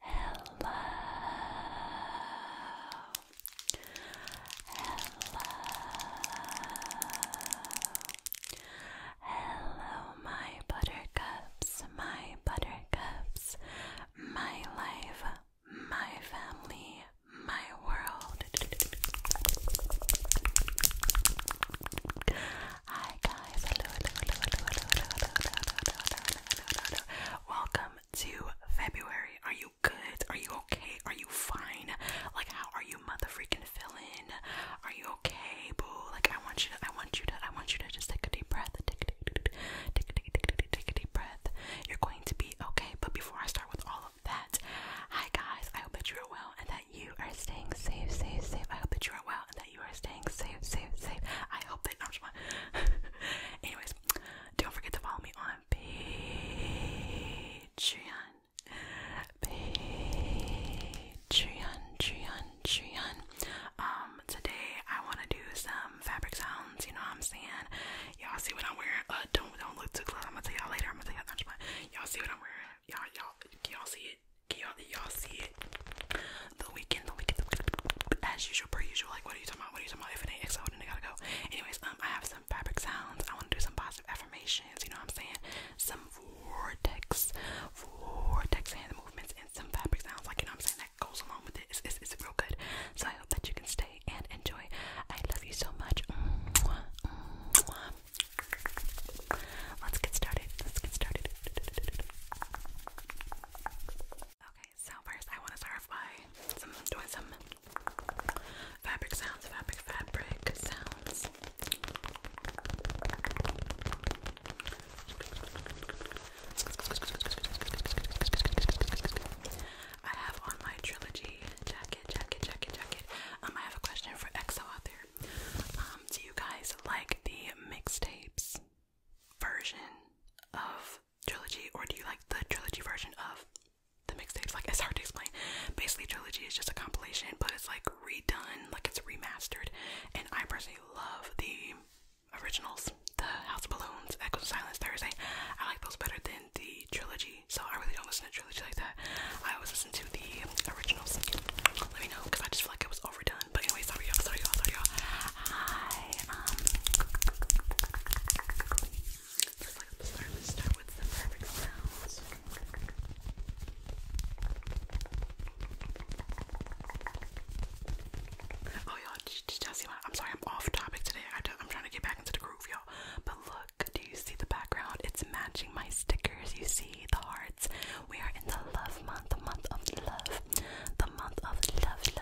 Hello. Hello. Hello, my buttercups, my buttercups, my life, my family, my world. Hi guys, Welcome to February. Are you good? Are you okay? Are you fine? Like how are you mother freaking feeling? Are you okay, boo? Like I want you to I want you to I want you to just take a deep breath. Take a deep take a deep, take a deep, breath. You're going to be okay. But before I start with all of that, hi guys, I hope that you are well and that you are staying safe, safe, safe. I hope that you are well and that you are staying safe, safe, safe. I hope they know I'm Anyways, don't forget to follow me on Patreon. Patreon, Patreon, Patreon. Um, today I want to do some fabric sounds. You know what I'm saying? Y'all see what I'm wearing? Uh, don't don't look too close. I'm gonna tell y'all later. I'm gonna tell y'all. Y'all see what I'm wearing? Y'all y'all y'all see it? y'all y'all see it? the weekend, the weekend, as usual, per usual. Like, what are you talking about? What are you talking about? If and ain't exo, then gotta go. Anyways, um, I have some fabric sounds. I want to do some positive affirmations. You know what I'm saying? Some vortex, vortex and the movements, and some fabric sounds. Like, you know what I'm saying? That goes along with it. It's, it's, real good. So I hope that you can stay and enjoy. I love you so much. Let's get started. Let's get started. Okay, so first I want to start by some, doing some fabric sounds, of fabric, fabric sounds. I have on my trilogy jacket, jacket, jacket, jacket. Um, I have a question for EXO out there. Um, do you guys like the mixtapes version of Trilogy, or do you like the trilogy version of the mixtapes? Like, it's hard to explain. Basically, Trilogy is just a compilation, but it's like redone, like it's remastered. And I personally love the originals, the House of Balloons, Echoes of Silence, Thursday. I like those better than the trilogy, so I really don't listen to trilogy like that. I always listen to the originals. Let me know because I just feel like it was overdone. But anyway, sorry y'all, sorry y'all, sorry y'all. Hi, um, just like a thermistor with the perfect sounds. Oh, y'all, did y'all see what? I'm sorry, I'm off topic today. I I'm trying to get back into the groove, y'all. But look, do you see the background? It's matching my stickers. You see the hearts. We are in the love month, the month of love, the month of love, love.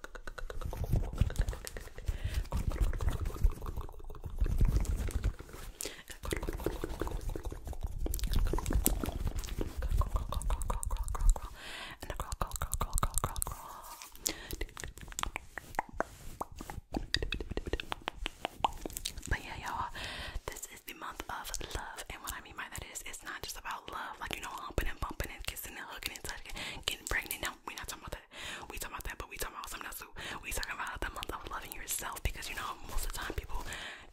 But yeah, y'all, this is the month of love, and what I mean by that is it's not just about love, like you know, humping and bumping and kissing and hugging and touching, getting pregnant we not talking about that. We talking about that, but we talking about something else too. We talking about the month of loving yourself because you know most of the time people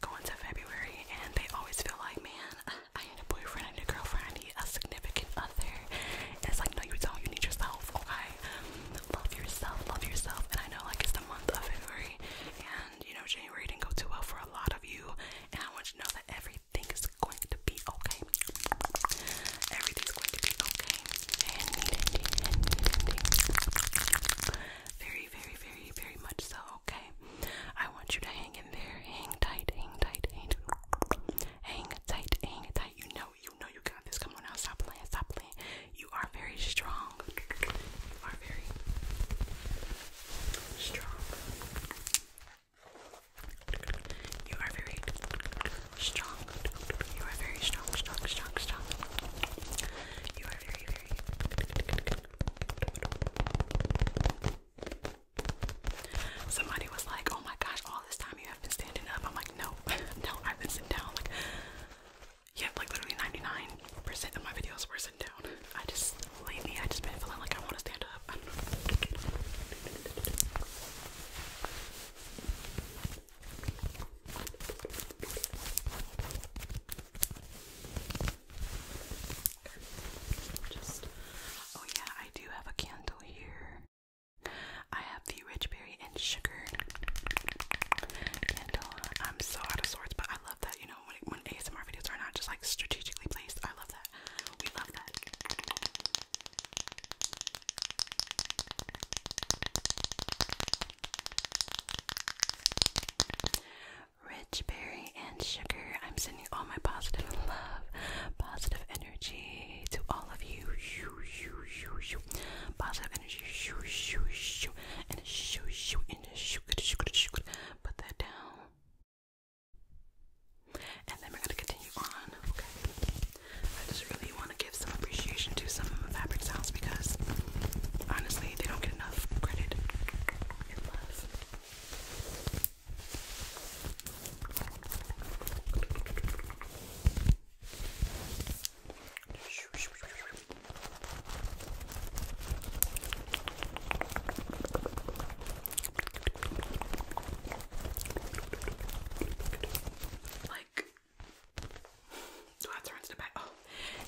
go into February and they always feel like, man, I need a boyfriend, I need a girlfriend, I need a significant other. it's like no, you don't. You need yourself. Okay, love yourself, love yourself. And I know like it's the month of February, and you know January didn't go too well for a lot of you. And I want you to know that every everything is going to be okay. Everything's going to be okay. Very, very, very, very much so, okay? I want you to hang in there. Hang tight, hang tight, hang tight. Hang tight, hang tight. You know, you know you got this. Come on now, stop playing, stop playing. You are very strong. You are very strong. You are very strong. You are very strong, strong, strong, strong. You are very, very. Somebody was like, "Oh my gosh! All this time you have been standing up." I'm like, "No, no, I've been sitting down." Like, yeah, like literally 99% of my videos were sitting down. I just lately, I just been feeling like I want to stand up. I don't know oh yeah, I do have a candle here. I have the rich berry and sugar candle. I'm so out of sorts, but I love that. You know, when when ASMR videos are not just like strategically placed, I love that that. berry and sugar. I'm sending all my positive love, positive energy to all of you. Positive energy. And shoo shoo and shoo. Put that down and then we're gonna continue on. Okay. I just really want to give some appreciation to some of my fabric sounds because honestly, they don't get enough credit like, Oh,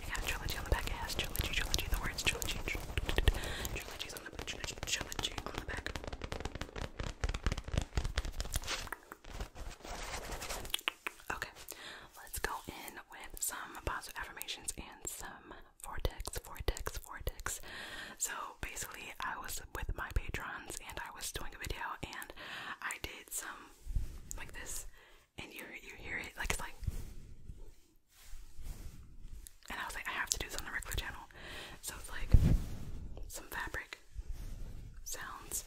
I got trilogy on the back. It has trilogy, trilogy, the words trilogy, trilogy on the back. Okay, let's go in with some positive affirmations and some vortex, vortex, vortex. So basically, I was with my patrons and I was doing a video and I did some like this, and you you hear it like it's like, and I was like, I have to do this on the regular channel, so it's like some fabric sounds,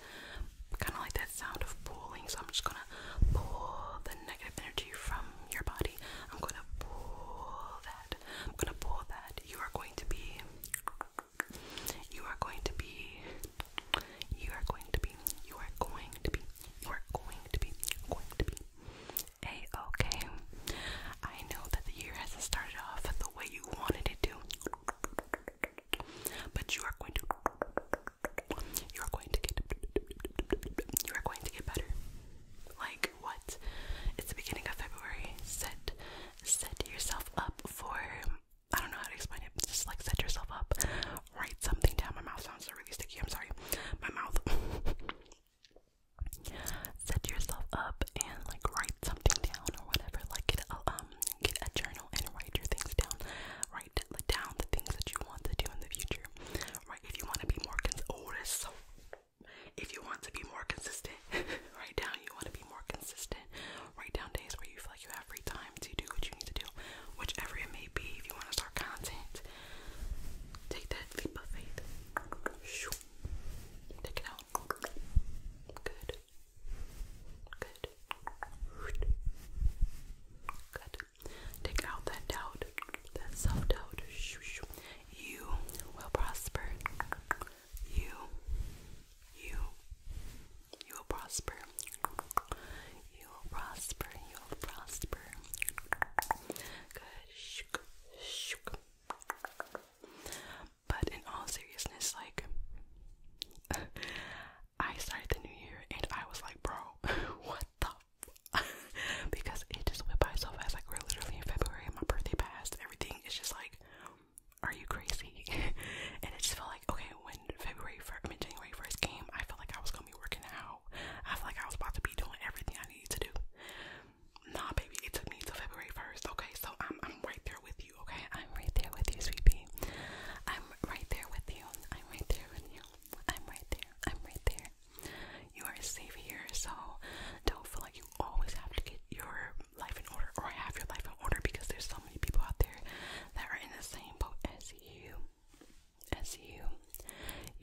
kind of like that sound of pulling. So I'm just gonna pull the negative energy from your body. I'm gonna pull that. I'm gonna pull that. You are going to be you are going to be, you are going to be, you are going to be, you are going to be, going to be a-okay. I know that the year hasn't started off the way you wanted it to, but you are going to, you are going to get, you are going to get better. Like what? It's the beginning of February. Set set yourself up for I don't know how to explain it. Just like set yourself up, write something down. My mouth sounds really sticky. I'm sorry. My mouth. set yourself up and like write something down or whatever. Like get a, um get a journal and write your things down. Write down the things that you want to do in the future. Right? If you want to be more cons oh, If you want to be more consistent Write down you want to be more consistent. Write down days where you feel like you have free time to do what you need to do, whichever it may be. If you want to start content, take that leap of faith. Take it out. Good. Good. Good. Take out that doubt, that self doubt. You will prosper you, you, you will prosper. You will prosper. You will prosper. But in all seriousness, like, I started the new year and I was like, bro, what the? because it just went by so fast. Like, we're literally in February, my birthday passed, everything. is just like, are you crazy? and it just felt like, okay, when February 1st, I January 1st came, I felt like I was gonna be working out. I felt like I was about to be doing everything I needed to do. Nah, baby, it took me till February 1st, okay? So I'm, I'm right there with you, okay? I'm right there with you, sweet I'm right there with you. I'm right there with you. I'm right there. I'm right there. You are safe here, so don't feel like you always have to get your life in order or have your life in order because there's so many people out there that are in the same boat as you. As you.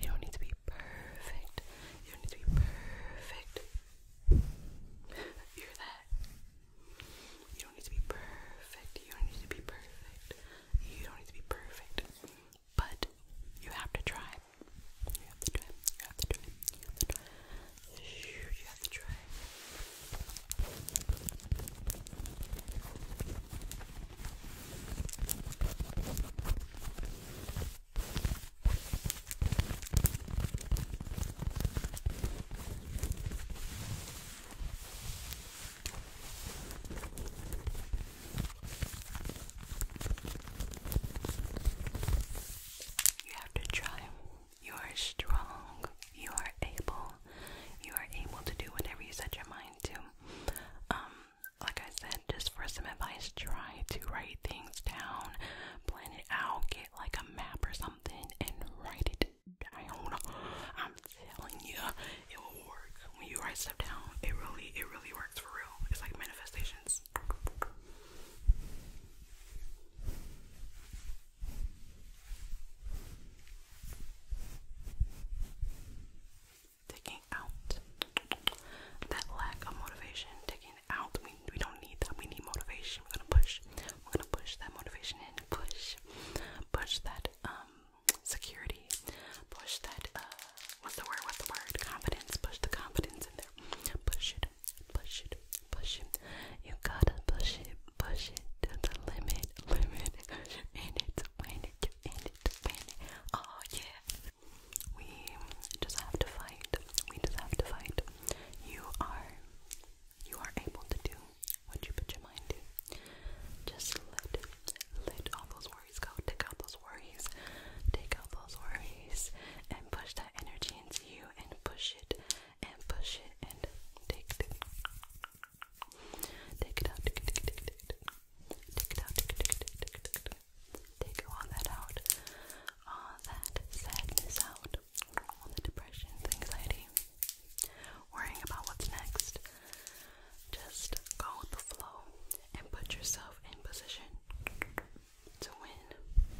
You don't need to be perfect. You don't need to be perfect. Hear that? You don't need to be perfect. You don't need to be perfect. You don't need to be perfect. But you have to try. You have to try. You have to try. You have to try. You have to try. You have to try. You are strong. You are able. You are able to do whatever you set your mind to. Um, like I said, just for some advice, try to write things down, plan it out, get like a map or something, and write it down. I'm telling you, it will work. When you write stuff down, it really, it really works for real. It's like manifestations. Taking out that lack of motivation, taking out. We, we don't need that. We need motivation. We're gonna push. We're gonna push that motivation in. Push, push that um, security. Push that uh, what's the word? What's the word? Confidence. Push the confidence in there. Push it push it, push it. You gotta push it, push it to the limit, limit. In it, win it, in it, win it. Oh yeah. We just have to fight. We just have to fight. You are, you are able to do what you put your mind to. Just let, let all those worries go. Take out those worries. Take out those worries and push that energy into you and push it and push it and take it. out. Take it, take take it, out. Take all that out. All that sadness out. All the depression, the anxiety, worrying about what's next. Just go with the flow and put yourself in position to win.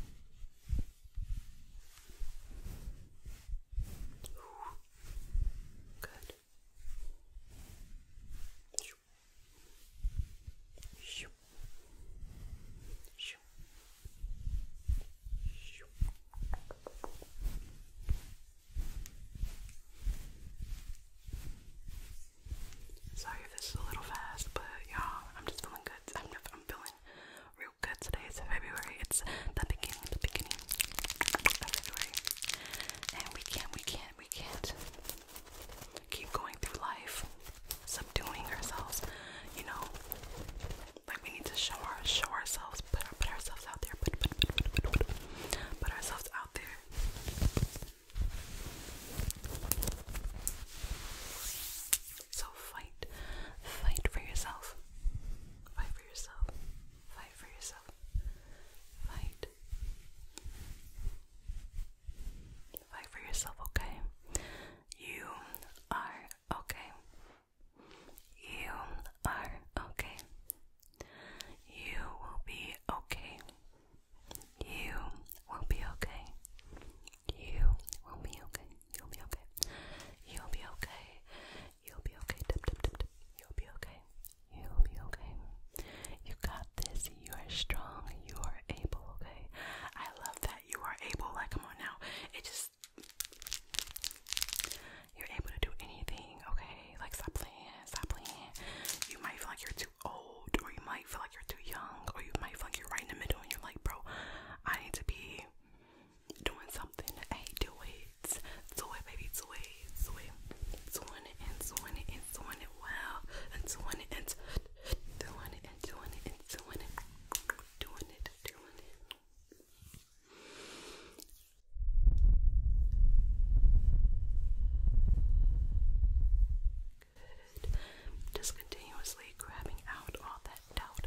Good. Shoo. Sorry if this is a little fast, but yeah, I'm just feeling good. I'm, I'm Oh, good. Today is February. It's the beginning, the beginning of February. And we can't, we can't, we can't keep going through life subduing ourselves, you know. Like we need to show our show ourselves, put ourselves out there, put, put, put, put, put ourselves out there. So fight. Fight for yourself. Fight for yourself. Fight for yourself. Fight. Fight for yourself, okay? You are okay. You are okay. You will be okay. You will be okay. You will be okay. You'll be okay. You'll be okay. You'll be okay. Dip, dip, dip, dip. You'll be okay. You'll be okay. You got this. You are strong. You are able, okay? I love that. You are able. Like, come on now. It just. You're able to do anything, okay? Like, stop playing. Stop playing. You might feel like you're too old, or you might feel like you're too young, or you might feel like you're right in the middle and you're like, bro, I need to be doing something. Hey, do it. Do it, baby. Do it. Do it. Doing it and doing it and doing it well. And doing it and doing it and doing it and doing it. Doing it, doing it. Good. Just grabbing out all that doubt,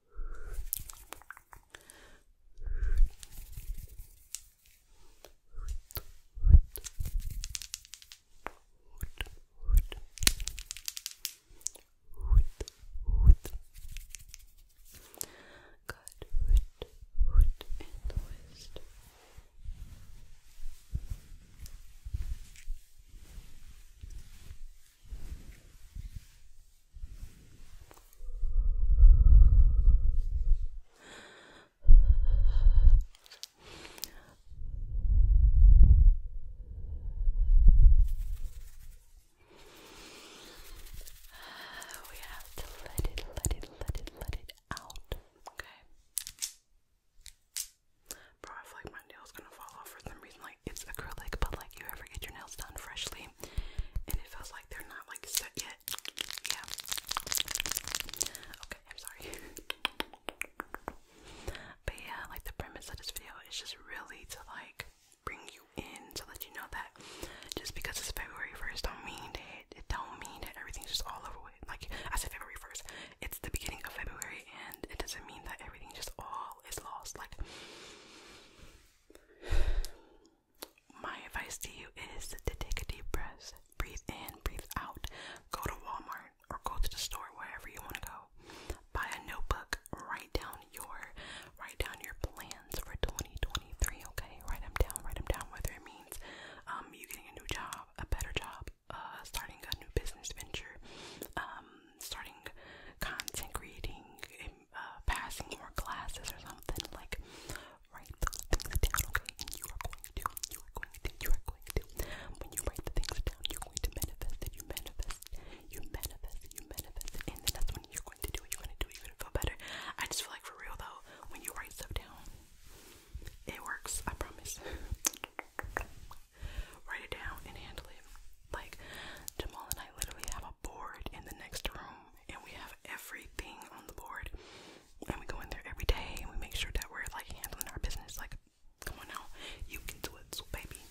Good. Hoot in the west. Good. We have to let it, let it, let it, let it out. Okay. Bro, I feel like my nail's gonna fall off for some reason. Like it's acrylic, but like you ever get your nails done freshly and it feels like they're not like stuck yet. Yeah. Okay, I'm sorry. but yeah, like the premise of this video is just really to like bring you in to let you know that just because it's February 1st don't mean that it don't mean that everything's just all over with. Like I said February 1st. It's the beginning of February and it doesn't mean that everything just all is lost. Like my advice to you is to take a deep breath, breathe in, breathe out, go to Walmart or go to the store wherever you want to go. Buy a notebook, write down your write down your plans for 2023, okay? Write them down, write them down whether it means um you getting a new job, a better job, uh starting a new business venture, um starting content creating, uh, passing your classes or something, like write those things down, okay? you are going to, you are going to, you are going to. When you write the things down, you're going to manifest you manifest, you manifest, you manifest and then that's when you're going to do it, you're going to do it, you're going to feel better. I just feel like for real though, when you write stuff down, it works, I promise. Write it down and handle it. Like Jamal and I literally have a board in the next room and we have everything on the board. And we go in there every day and we make sure that we're like handling our business. Like, come on now, you can do it too, baby.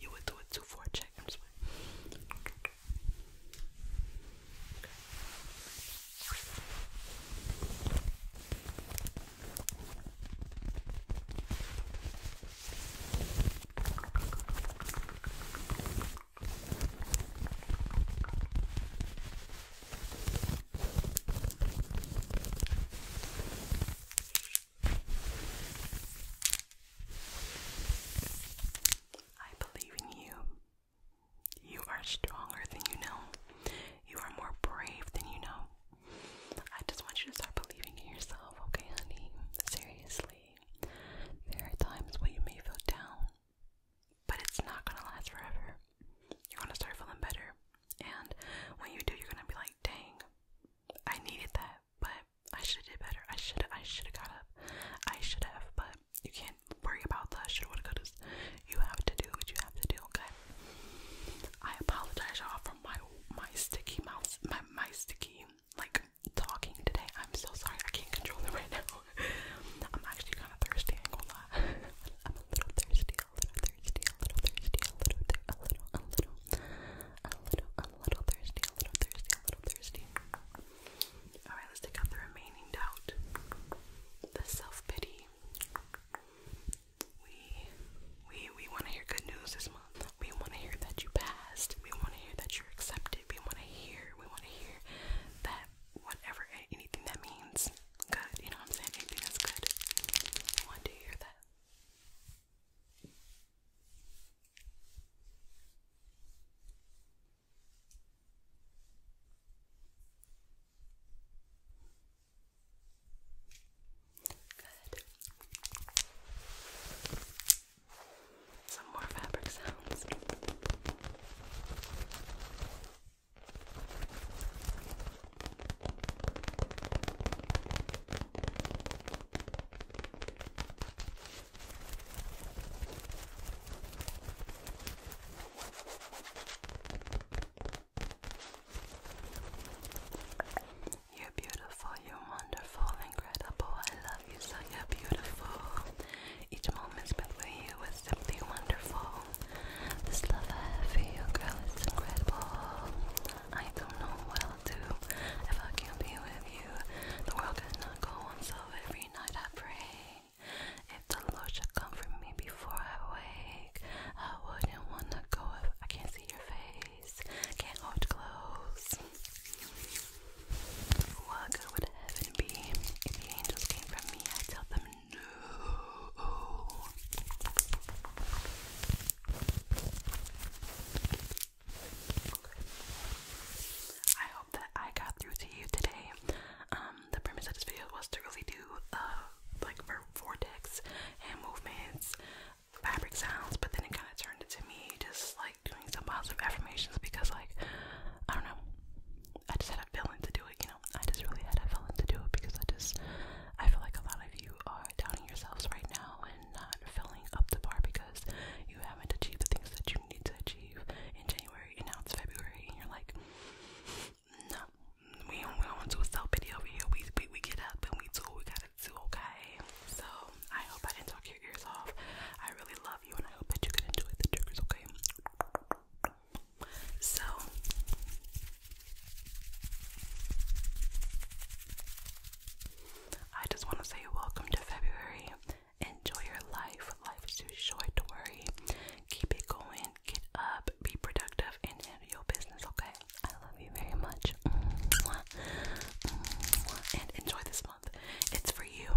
You would do it too for a check. I'm sorry. Okay. I believe in you. You are stronger than you know. You are more brave than you know. I just want you to start believing in yourself, okay, honey? Seriously see. There are times when you may feel down, but it's not gonna last forever. You're gonna start feeling better, and when you do, you're gonna be like, dang, I needed that, but I should have did better. I should have. I should have got up. I should have, but you can't worry about the should have got You have to do what you have to do, okay? I apologize y'all for my my sticky mouth my my sticky like talking today. I'm so sorry, I can't control it right now. I'm actually kind of thirsty, I ain't gonna lie. am a little thirsty, a little thirsty, a little thirsty, a little, a little, a little, a little, a little thirsty, a little thirsty, a little thirsty. Alright, let's take out the remaining doubt, the self pity. We, we, we want to hear good news this month. We want to hear that you passed. We want to hear that you're accepted. We want to hear, we want to hear that whatever, anything that means good, you know what I'm saying? Anything that's good. We want to hear that. Good some more fabric sounds. You're beautiful, you wonderful, incredible. I love you, so you're beautiful. Each moment spent with you is simply wonderful. This love I have for you, girl, is incredible. I don't know what I'll do if I can't be with you. The world could not go on, so every night I pray. If the Lord should comfort me before I wake, I wouldn't wanna go if I can't see your face, can't hold close. What good would heaven be if the angels came from me? I tell them no. I hope that I got through to you today. Um, the premise of this video was to really do uh, like vortex and movements, fabric sounds, but then it kind of turned into me just like doing some positive affirmations because like I don't know. I just had a feeling to do it, you know. I just really had a feeling to do it because I just I feel like a lot of you are doubting yourselves right now and not filling up the bar because you haven't achieved the things that you need to achieve in January and now it's February and you're like no, we don't we do want to do a self pity over here. We we we get up and we do what we gotta do, okay? So I hope I didn't talk ears off. I really love you and I hope that you can enjoy the triggers, okay? So I just want to say welcome to February. Enjoy your life. Life is too short to worry. Keep it going. Get up. Be productive and handle your business, okay? I love you very much. And enjoy this month. It's for you.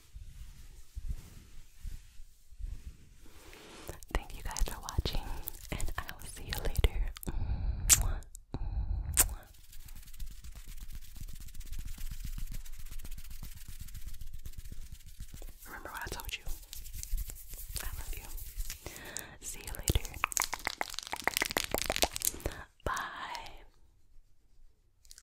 Thank you guys for watching, and I will see you later. Remember what I told you. I love you. See you later. Bye.